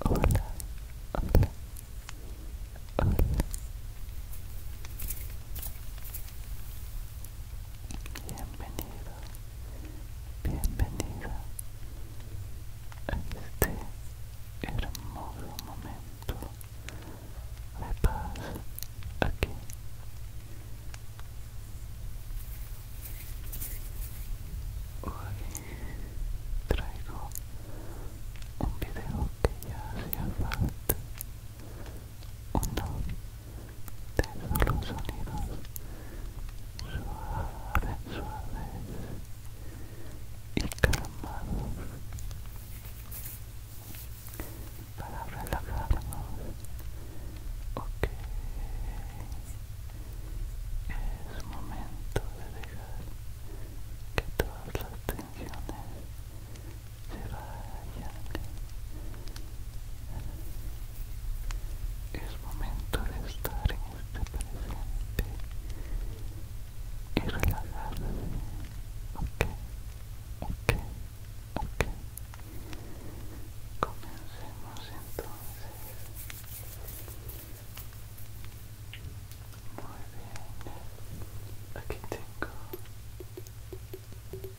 Hola, hola, hola. Bienvenido, a este hermoso momento to repass again. Ora traigo un video che ya si è fatto, uno de los sonidos suaves, suaves y calmados. para relajarnos ok es momento de dejar que todas las tensiones se vayan es momento de estar en este presente y relajarse ok, ok, ok. Comencemos entonces. Muy bien. Aquí tengo uno de los clásicos.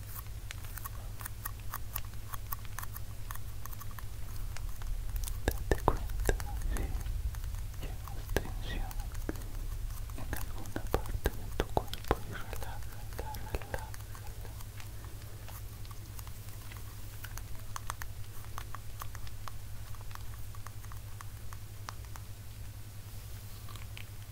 Date cuenta si llevas tensión en alguna parte de tu cuerpo y relájala, relájala.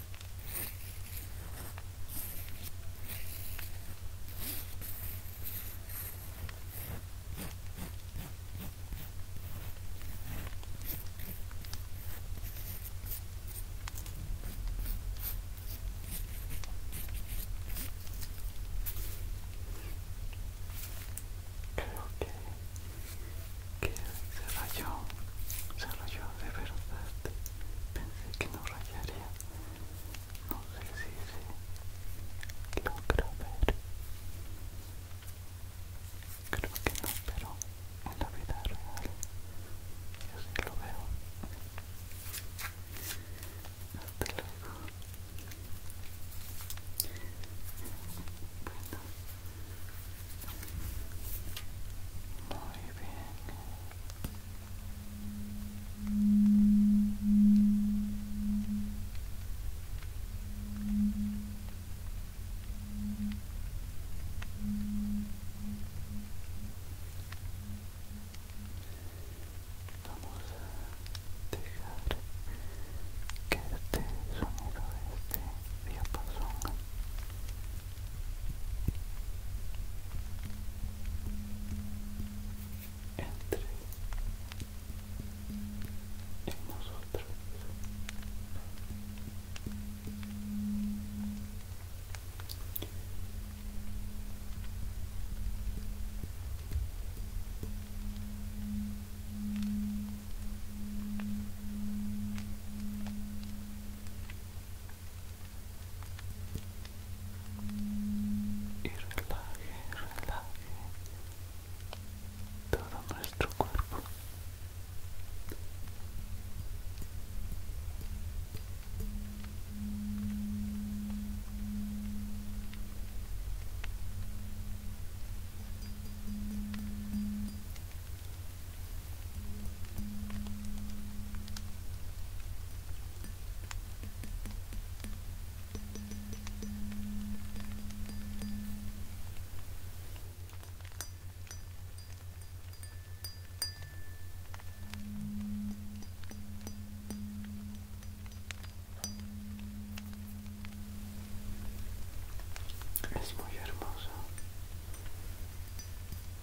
Creo que, se rayó, se rayó de verdad pensé que no rayaría no sé si se logra ver creo que no pero en la vida real yo sí lo veo hasta luego bueno muy bien. Vamos a dejar que este sonido, de este diapasón entre nosotros y relaje, relaje todo nuestro cuerpo. Es muy hermoso.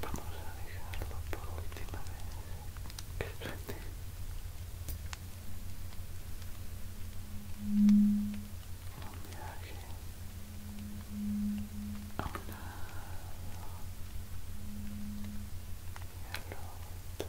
Vamos a dejarlo por última vez. Que suene. Un viaje a un lado y al otro.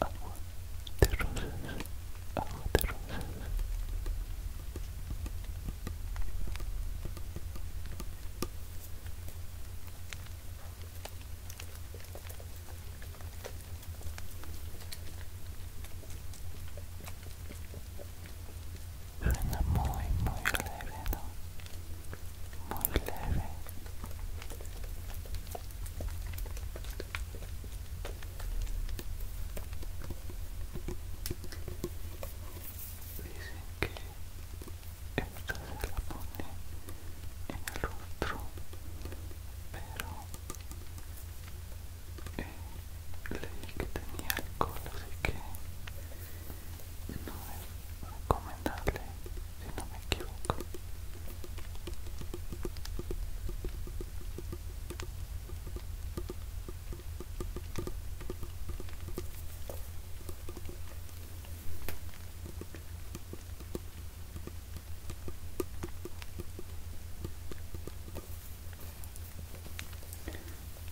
agua de rosas, agua de rosas. Suena muy, muy leve, ¿no? Muy leve. Dicen que esta se la pone en el otro, pero eh, le leí que tenía alcohol, así que no es recomendable si no me equivoco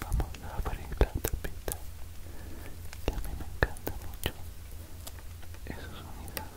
Vamos a abrir la tapita que a mí me encanta mucho esos unidades.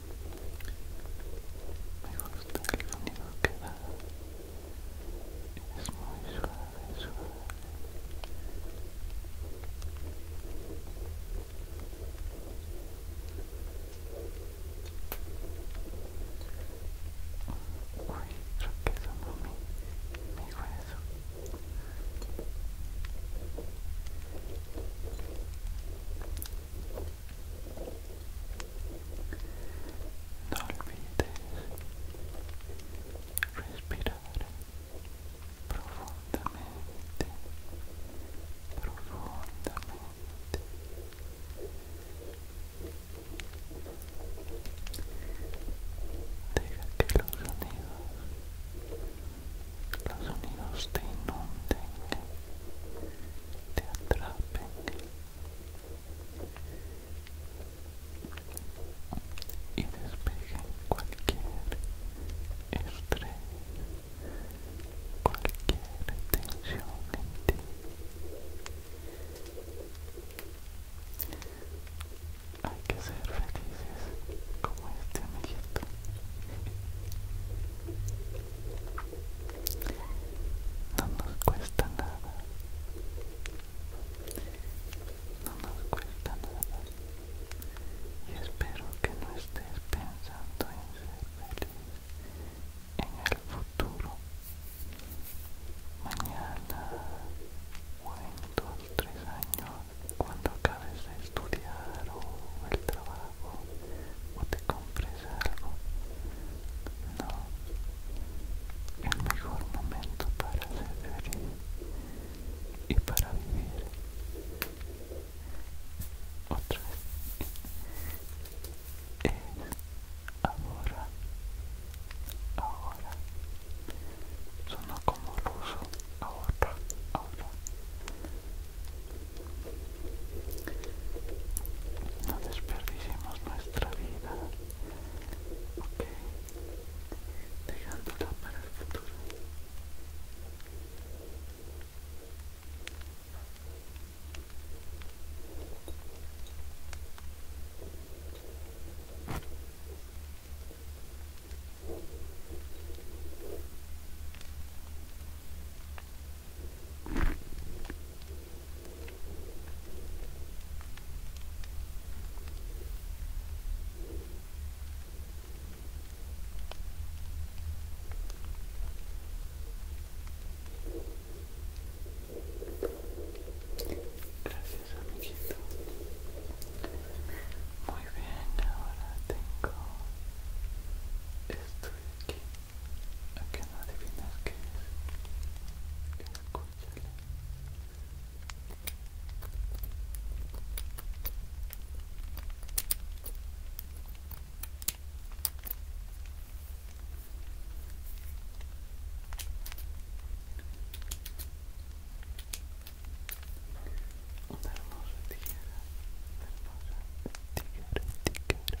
me gusta el sonido que da es muy suave suave uy creo que sonó mi, mi hueso no olvides respirar profundamente, profundamente. Deja que los sonidos, los sonidos te inunden te atrapen y despejen cualquier estrés, cualquier tensión en ti. Hay que ser felices como este amiguito. No nos cuesta nada. No nos cuesta nada. Y espero que no estés pensando en ser feliz en el futuro. Mañana o en dos, tres años, cuando acabes de estudiar o el trabajo o te compres algo? No. El mejor momento para ser y para vivir. Otra vez. Es ahora. Ahora. Sonó como ruso. Ahora. Ahora. No desperdicemos nuestra vida, ok, dejándola para el futuro. Gracias, amiguito. Muy bien, ahora tengo esto de aquí que no adivinas que es Caracúchale una hermosa tijera, una hermosa tijera, tijera,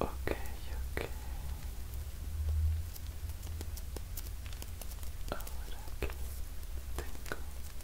Okay, ok. Ahora aquí tengo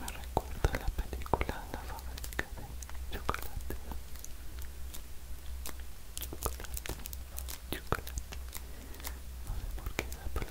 Me recuerda la película La fábrica de chocolate. Chocolate, chocolate. No sé por qué la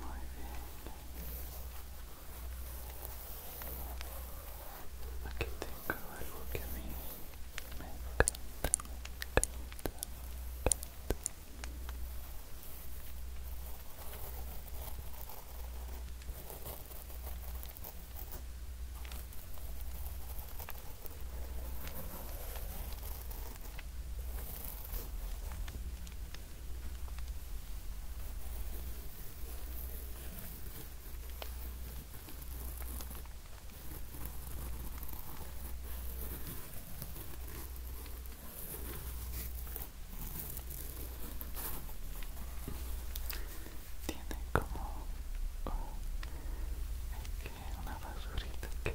Muy bien. Aquí tengo algo que me encanta, me tiene como oh, que una basurita que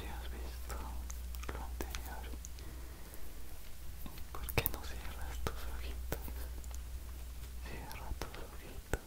Si has visto lo anterior, ¿por qué no cierras tus ojitos? Cierra tus ojitos.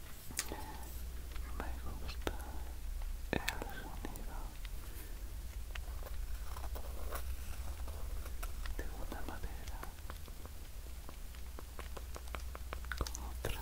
me gusta el sonido de una madera con otra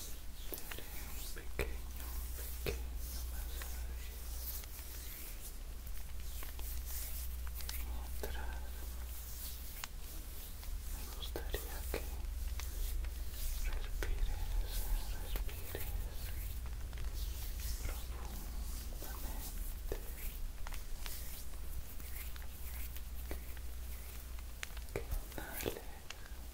haré un pequeño, pequeño me gustaría que respires, respires profundamente que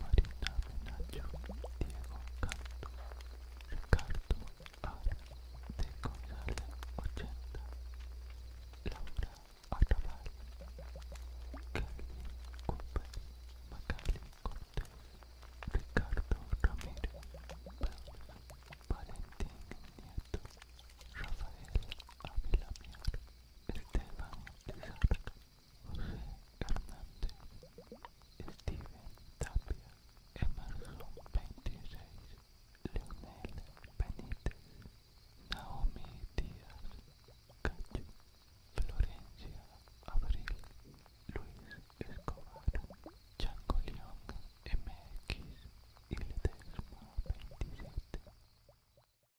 Marina Menacho, Diego Canto, Ricardo Ara de Comisaria 80, Laura Arrabal, Kelly Cooper, Magali Cortés, Ricardo Ramírez, Valentín Nieto, Rafael Ávila Mier, Esteban Lizarra. Hernández, Steven Tapia, Emerson 26, Leonel Benítez, Naomi Díaz, Cacho, Florencia, Abril, Luis Escobar, Chango León MX y Ledesma 27.